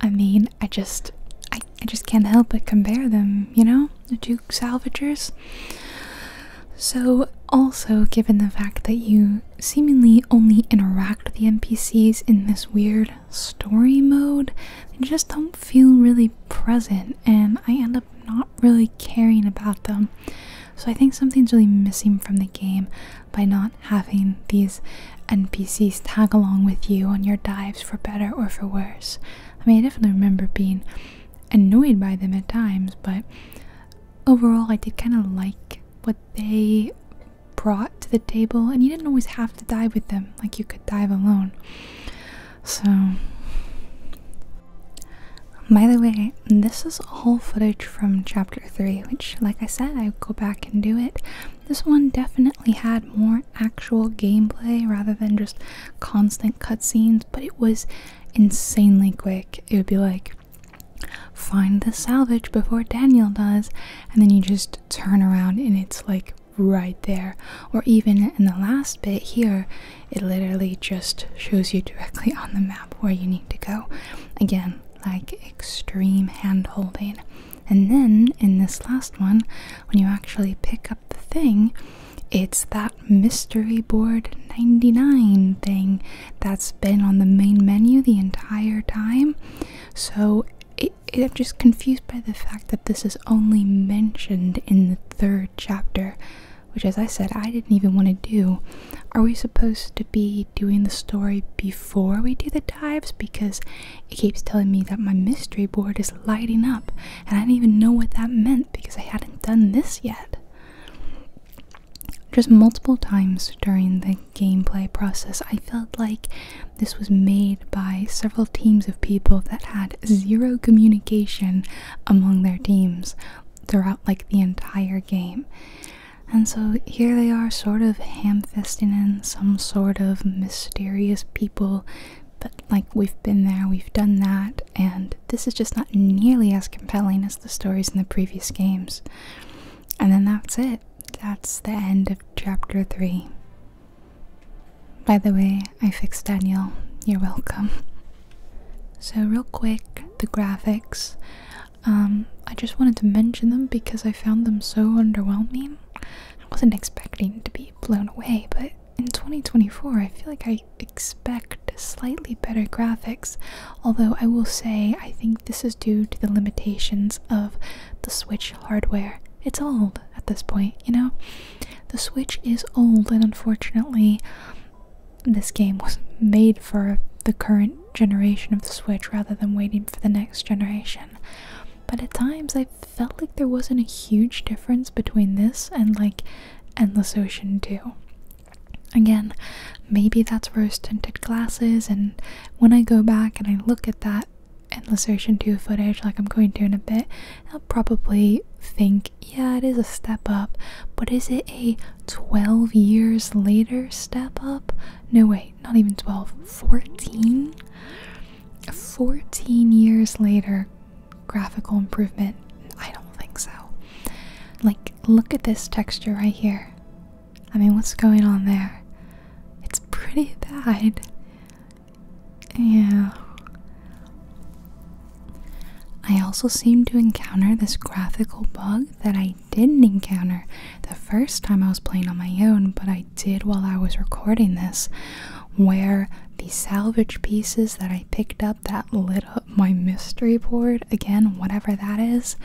Speaker 1: I mean, I just, I I just can't help but compare them, you know? The two salvagers. So, also given the fact that you seemingly only interact with the NPCs in this weird story mode, they just don't feel really present, and I end up not really caring about them. So, I think something's really missing from the game by not having these NPCs tag along with you on your dives for better or for worse. I mean, I definitely remember being annoyed by them at times, but overall, I did kind of like what they brought to the table, and you didn't always have to dive with them, like, you could dive alone. So, by the way, this is all footage from chapter 3, which, like I said, I go back and do it. This one definitely had more actual gameplay rather than just constant cutscenes, but it was insanely quick. It would be like, find the salvage before Daniel does, and then you just turn around and it's like right there. Or even in the last bit here, it literally just shows you directly [LAUGHS] on the map where you need to go. Again, like extreme hand holding. And then in this last one, when you actually pick up the thing, it's that mystery board 99 thing that's been on the main menu the entire time. So I'm just confused by the fact that this is only mentioned in the third chapter, which, as I said, I didn't even want to do. Are we supposed to be doing the story before we do the dives? Because it keeps telling me that my mystery board is lighting up, and I didn't even know what that meant because I hadn't done this yet. Just multiple times during the gameplay process, I felt like this was made by several teams of people that had zero communication among their teams throughout like the entire game. And so here they are, sort of ham fisting in some sort of mysterious people but like we've been there, we've done that, and this is just not nearly as compelling as the stories in the previous games. And then that's it. That's the end of chapter 3. By the way, I fixed Daniel. You're welcome. So, real quick, the graphics. Um, I just wanted to mention them because I found them so underwhelming. I wasn't expecting to be blown away, but in 2024, I feel like I expect slightly better graphics, although I will say I think this is due to the limitations of the Switch hardware. It's old at this point, you know? The Switch is old, and unfortunately, this game was made for the current generation of the Switch rather than waiting for the next generation but at times I felt like there wasn't a huge difference between this and like Endless Ocean 2. Again, maybe that's rose tinted glasses, and when I go back and I look at that Endless Ocean 2 footage, like I'm going to in a bit, I'll probably think, yeah, it is a step up, but is it a 12 years later step up? No, way, not even 12, 14? 14 years later, graphical improvement? I don't think so. Like, look at this texture right here. I mean, what's going on there? It's pretty bad. Yeah. I also seem to encounter this graphical bug that I didn't encounter the first time I was playing on my own, but I did while I was recording this, where the salvage pieces that I picked up that lit up my mystery board, again, whatever that is,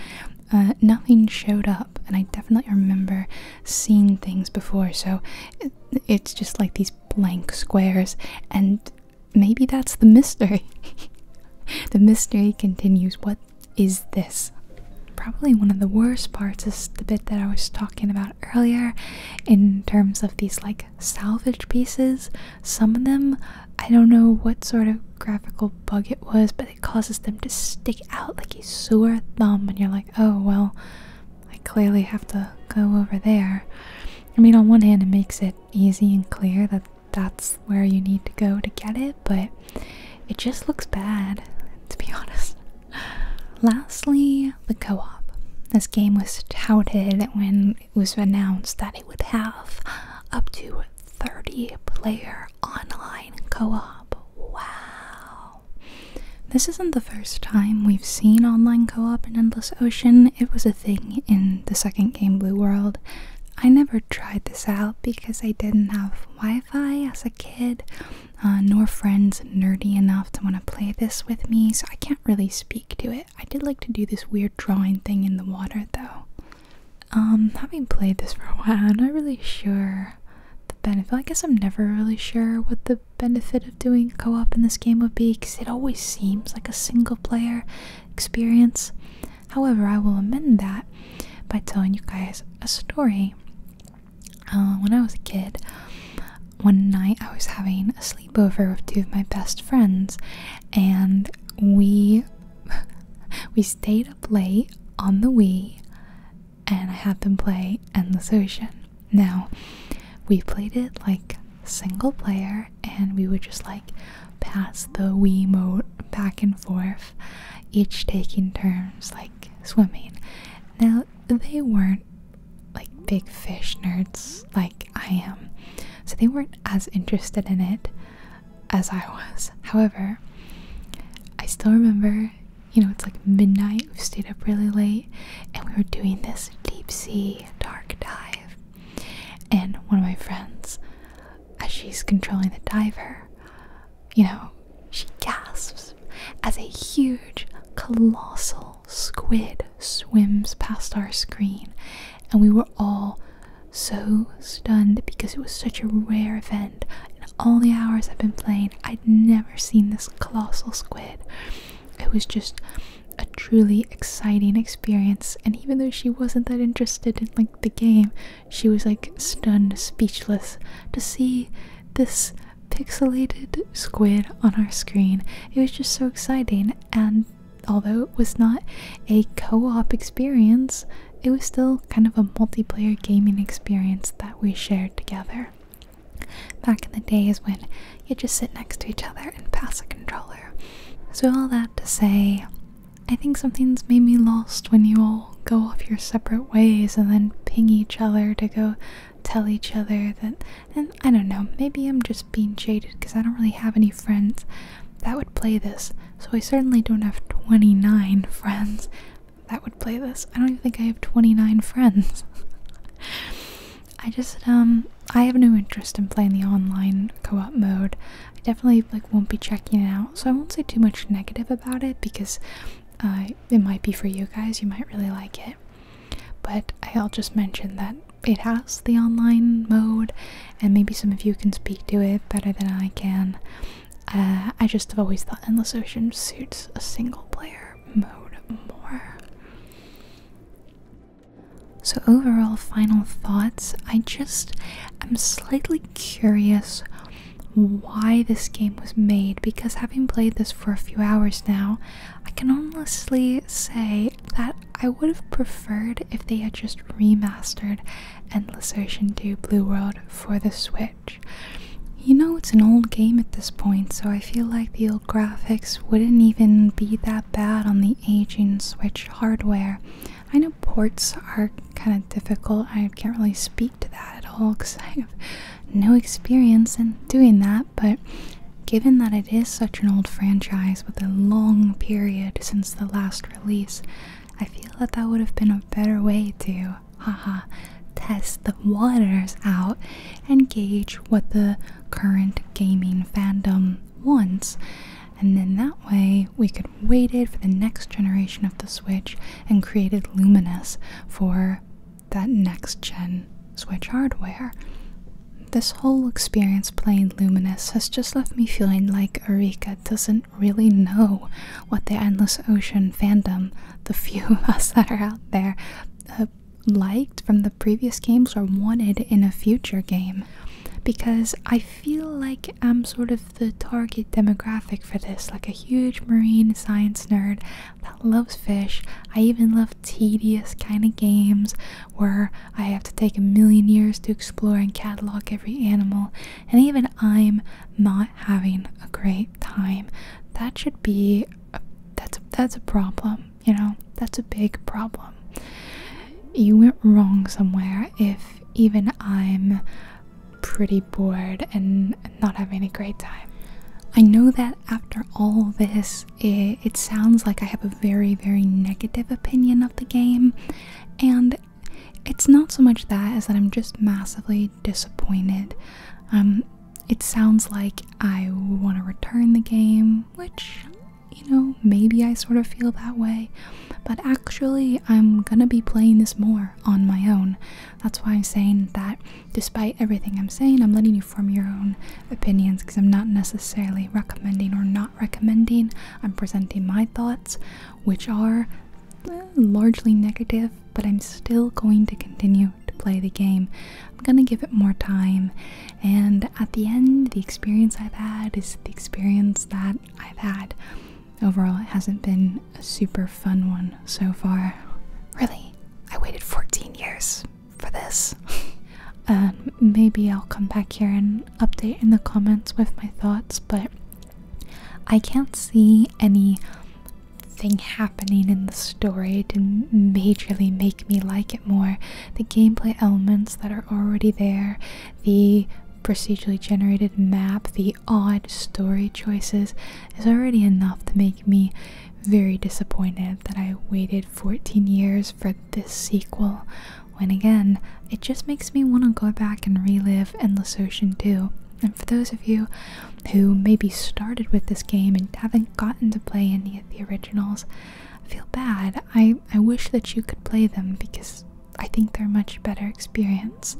Speaker 1: uh, nothing showed up. And I definitely remember seeing things before, so it's just like these blank squares, and maybe that's the mystery. [LAUGHS] the mystery continues. What is this? Probably one of the worst parts is the bit that I was talking about earlier in terms of these like salvage pieces. Some of them, I don't know what sort of graphical bug it was, but it causes them to stick out like a sore thumb, and you're like, oh, well, I clearly have to go over there. I mean, on one hand, it makes it easy and clear that that's where you need to go to get it, but it just looks bad, to be [LAUGHS] honest. Lastly, the co op. This game was touted when it was announced that it would have up to 30 player online co op. Wow. This isn't the first time we've seen online co op in Endless Ocean. It was a thing in the second game, Blue World. I never tried this out because I didn't have Wi Fi as a kid, uh, nor friends nerdy enough to want to play this with me, so I can't really speak to it. I did like to do this weird drawing thing in the water though. Um, having played this for a while, I'm not really sure the benefit. I guess I'm never really sure what the benefit of doing co-op in this game would be because it always seems like a single player experience. However, I will amend that by telling you guys a story. Uh, when I was a kid, one night I was having a sleepover with two of my best friends, and we [LAUGHS] we stayed up late on the Wii, and I had them play Endless Ocean. Now, we played it like single player, and we would just like pass the Wii mote back and forth, each taking turns like swimming. Now, they weren't like big fish nerds like I am, so they weren't as interested in it as I was. However, I still remember, you know, it's like midnight, we stayed up really late, and we were doing this deep sea dark dive. And one of my friends, as she's controlling the diver, you know, she gasps as a huge, colossal squid swims past our screen, and we were all so stunned because it was such a rare event. In all the hours I've been playing, I'd never seen this colossal squid. It was just a truly exciting experience, and even though she wasn't that interested in like the game, she was like stunned, speechless to see this pixelated squid on our screen. It was just so exciting, and although it was not a co op experience, it was still kind of a multiplayer gaming experience that we shared together. Back in the days when you just sit next to each other and pass a controller. So, all that to say, I think something's made me lost when you all go off your separate ways and then ping each other to go tell each other that and I don't know, maybe I'm just being jaded because I don't really have any friends that would play this. So I certainly don't have 29 friends that would play this. I don't even think I have 29 friends. [LAUGHS] I just um I have no interest in playing the online co-op mode. I definitely like won't be checking it out. So I won't say too much negative about it because uh, it might be for you guys. You might really like it. But I'll just mention that it has the online mode, and maybe some of you can speak to it better than I can. Uh, I just have always thought Endless Ocean suits a single player mode more. So, overall, final thoughts. I just am slightly curious why this game was made because having played this for a few hours now, I can honestly say that I would have preferred if they had just remastered Endless Ocean 2 Blue World for the Switch. You know, it's an old game at this point, so I feel like the old graphics wouldn't even be that bad on the aging Switch hardware. I know ports are kind of difficult, I can't really speak to that at all because [LAUGHS] I have no experience in doing that, but given that it is such an old franchise with a long period since the last release, I feel that that would have been a better way to, haha, test the waters out and gauge what the current gaming fandom wants. And then that way we could wait it for the next generation of the Switch and created Luminous for that next gen Switch hardware. This whole experience playing Luminous has just left me feeling like Erika doesn't really know what the Endless Ocean fandom, the few [LAUGHS] of us that are out there, uh, liked from the previous games or wanted in a future game. Because I feel like I'm sort of the target demographic for this, like a huge marine science nerd that loves fish. I even love tedious kind of games where I have to take a million years to explore and catalog every animal, and even I'm not having a great time. That should be a, that's a, that's a problem, you know. That's a big problem. You went wrong somewhere if even I'm pretty bored and not having a great time. I know that after all this, it it sounds like I have a very very negative opinion of the game and it's not so much that as that I'm just massively disappointed. Um, it sounds like I want to return the game, which you know, maybe I sort of feel that way, but actually I'm going to be playing this more on my own. That's why I'm saying that despite everything I'm saying, I'm letting you form your own opinions because I'm not necessarily recommending or not recommending. I'm presenting my thoughts, which are largely negative, but I'm still going to continue to play the game. I'm gonna give it more time, and at the end, the experience I've had is the experience that I've had. Overall, it hasn't been a super fun one so far. Really, I waited 14 years for this. and uh, maybe I'll come back here and update in the comments with my thoughts, but I can't see anything happening in the story to majorly make me like it more. The gameplay elements that are already there, the procedurally generated map, the odd story choices is already enough to make me very disappointed that I waited 14 years for this sequel when again it just makes me want to go back and relive Endless Ocean 2. And for those of you who maybe started with this game and haven't gotten to play any of the originals, feel bad. I, I wish that you could play them because I think they're a much better experience.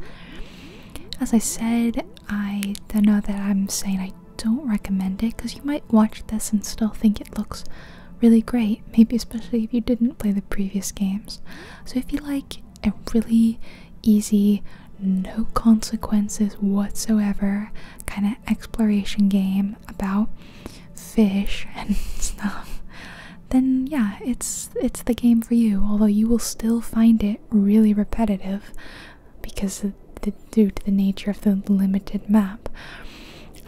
Speaker 1: As I said, I don't know that I'm saying I don't recommend it because you might watch this and still think it looks really great, maybe especially if you didn't play the previous games. So, if you like a really easy, no consequences whatsoever kind of exploration game about fish [LAUGHS] and stuff, then yeah, it's it's the game for you, although you will still find it really repetitive because due to the nature of the limited map.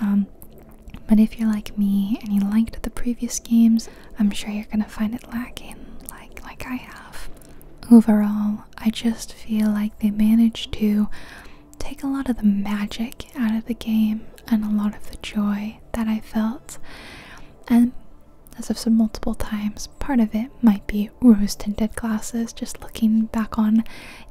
Speaker 1: Um, but if you're like me and you liked the previous games, I'm sure you're gonna find it lacking, like like I have. Overall, I just feel like they managed to take a lot of the magic out of the game and a lot of the joy that I felt. And as I've said multiple times, part of it might be rose tinted glasses, just looking back on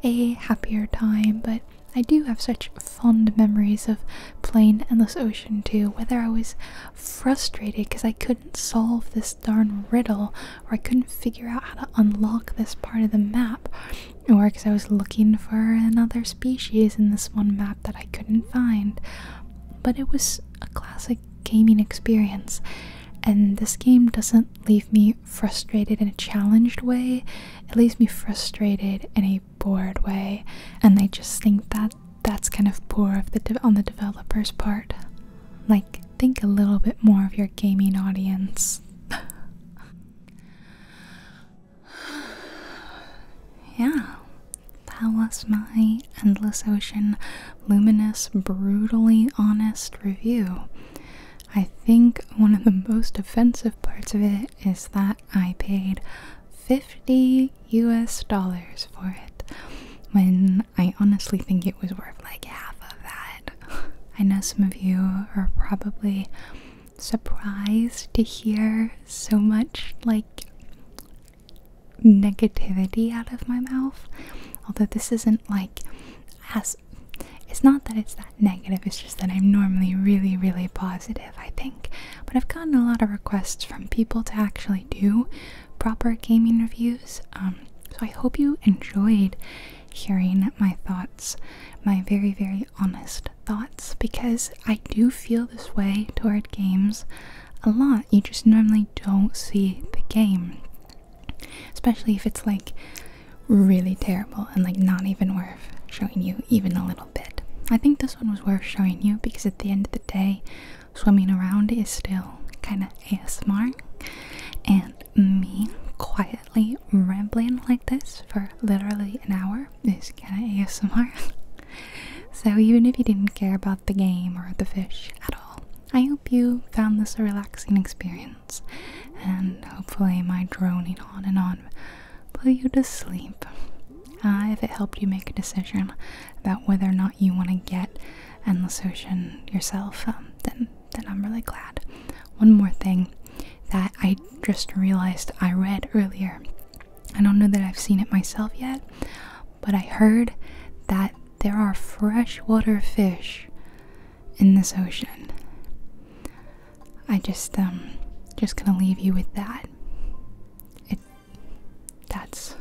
Speaker 1: a happier time. But I do have such fond memories of playing Endless Ocean 2, whether I was frustrated because I couldn't solve this darn riddle, or I couldn't figure out how to unlock this part of the map, or because I was looking for another species in this one map that I couldn't find. But it was a classic gaming experience, and this game doesn't leave me frustrated in a challenged way. It leaves me frustrated in a bored way, and I just think that that's kind of poor of the on the developer's part. Like, think a little bit more of your gaming audience. [SIGHS] yeah, that was my endless ocean, luminous, brutally honest review. I think one of the most offensive parts of it is that I paid 50 US dollars for it when I honestly think it was worth like half of that. I know some of you are probably surprised to hear so much like negativity out of my mouth, although this isn't like as it's not that it's that negative, it's just that I'm normally really, really positive, I think. But I've gotten a lot of requests from people to actually do proper gaming reviews. Um, so I hope you enjoyed hearing my thoughts, my very, very honest thoughts, because I do feel this way toward games a lot. You just normally don't see the game. Especially if it's like really terrible and like not even worth showing you even a little bit. I think this one was worth showing you because at the end of the day, swimming around is still kind of ASMR. And me quietly rambling like this for literally an hour is kind of ASMR. [LAUGHS] so even if you didn't care about the game or the fish at all, I hope you found this a relaxing experience and hopefully my droning on and on will put you to sleep. Uh, if it helped you make a decision about whether or not you want to get Endless Ocean yourself, um, then then I'm really glad. One more thing that I just realized I read earlier. I don't know that I've seen it myself yet, but I heard that there are freshwater fish in this ocean. I just um just gonna leave you with that. It that's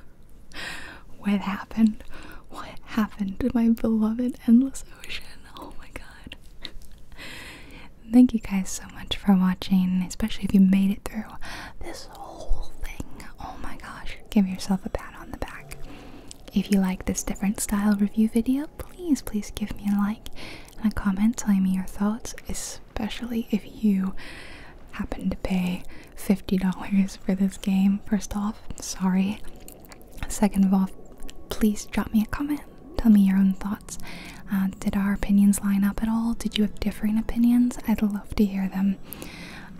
Speaker 1: [LAUGHS] what happened. What happened to my beloved endless ocean? Oh my god. Thank you guys so much for watching, especially if you made it through this whole thing. Oh my gosh. Give yourself a pat on the back. If you like this different style review video, please please give me a like and a comment telling me your thoughts, especially if you happen to pay $50 for this game. First off, sorry. Second of all, please drop me a comment. Tell me your own thoughts. Uh, did our opinions line up at all? Did you have differing opinions? I'd love to hear them.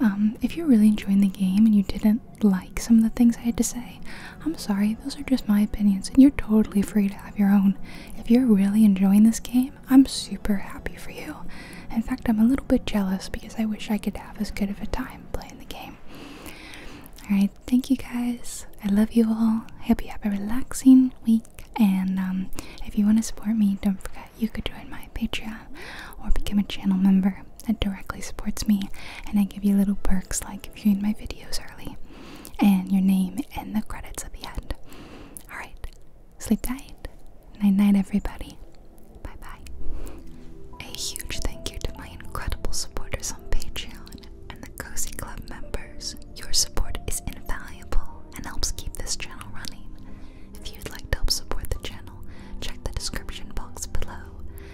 Speaker 1: Um, if you're really enjoying the game and you didn't like some of the things I had to say, I'm sorry, those are just my opinions, and you're totally free to have your own. If you're really enjoying this game, I'm super happy for you. In fact, I'm a little bit jealous because I wish I could have as good of a time playing the game. Alright, thank you guys. I love you all. I hope you have a relaxing week. And um, if you want to support me, don't forget you could join my Patreon or become a channel member. That directly supports me, and I give you little perks like viewing my videos early, and your name and the credits at the end. Alright, sleep tight. Night night, everybody. Bye bye. A huge thank you to my incredible supporters on Patreon and the Cozy Club members. Your support is invaluable and helps keep this channel running. If you'd like to help support the channel, check the description box below.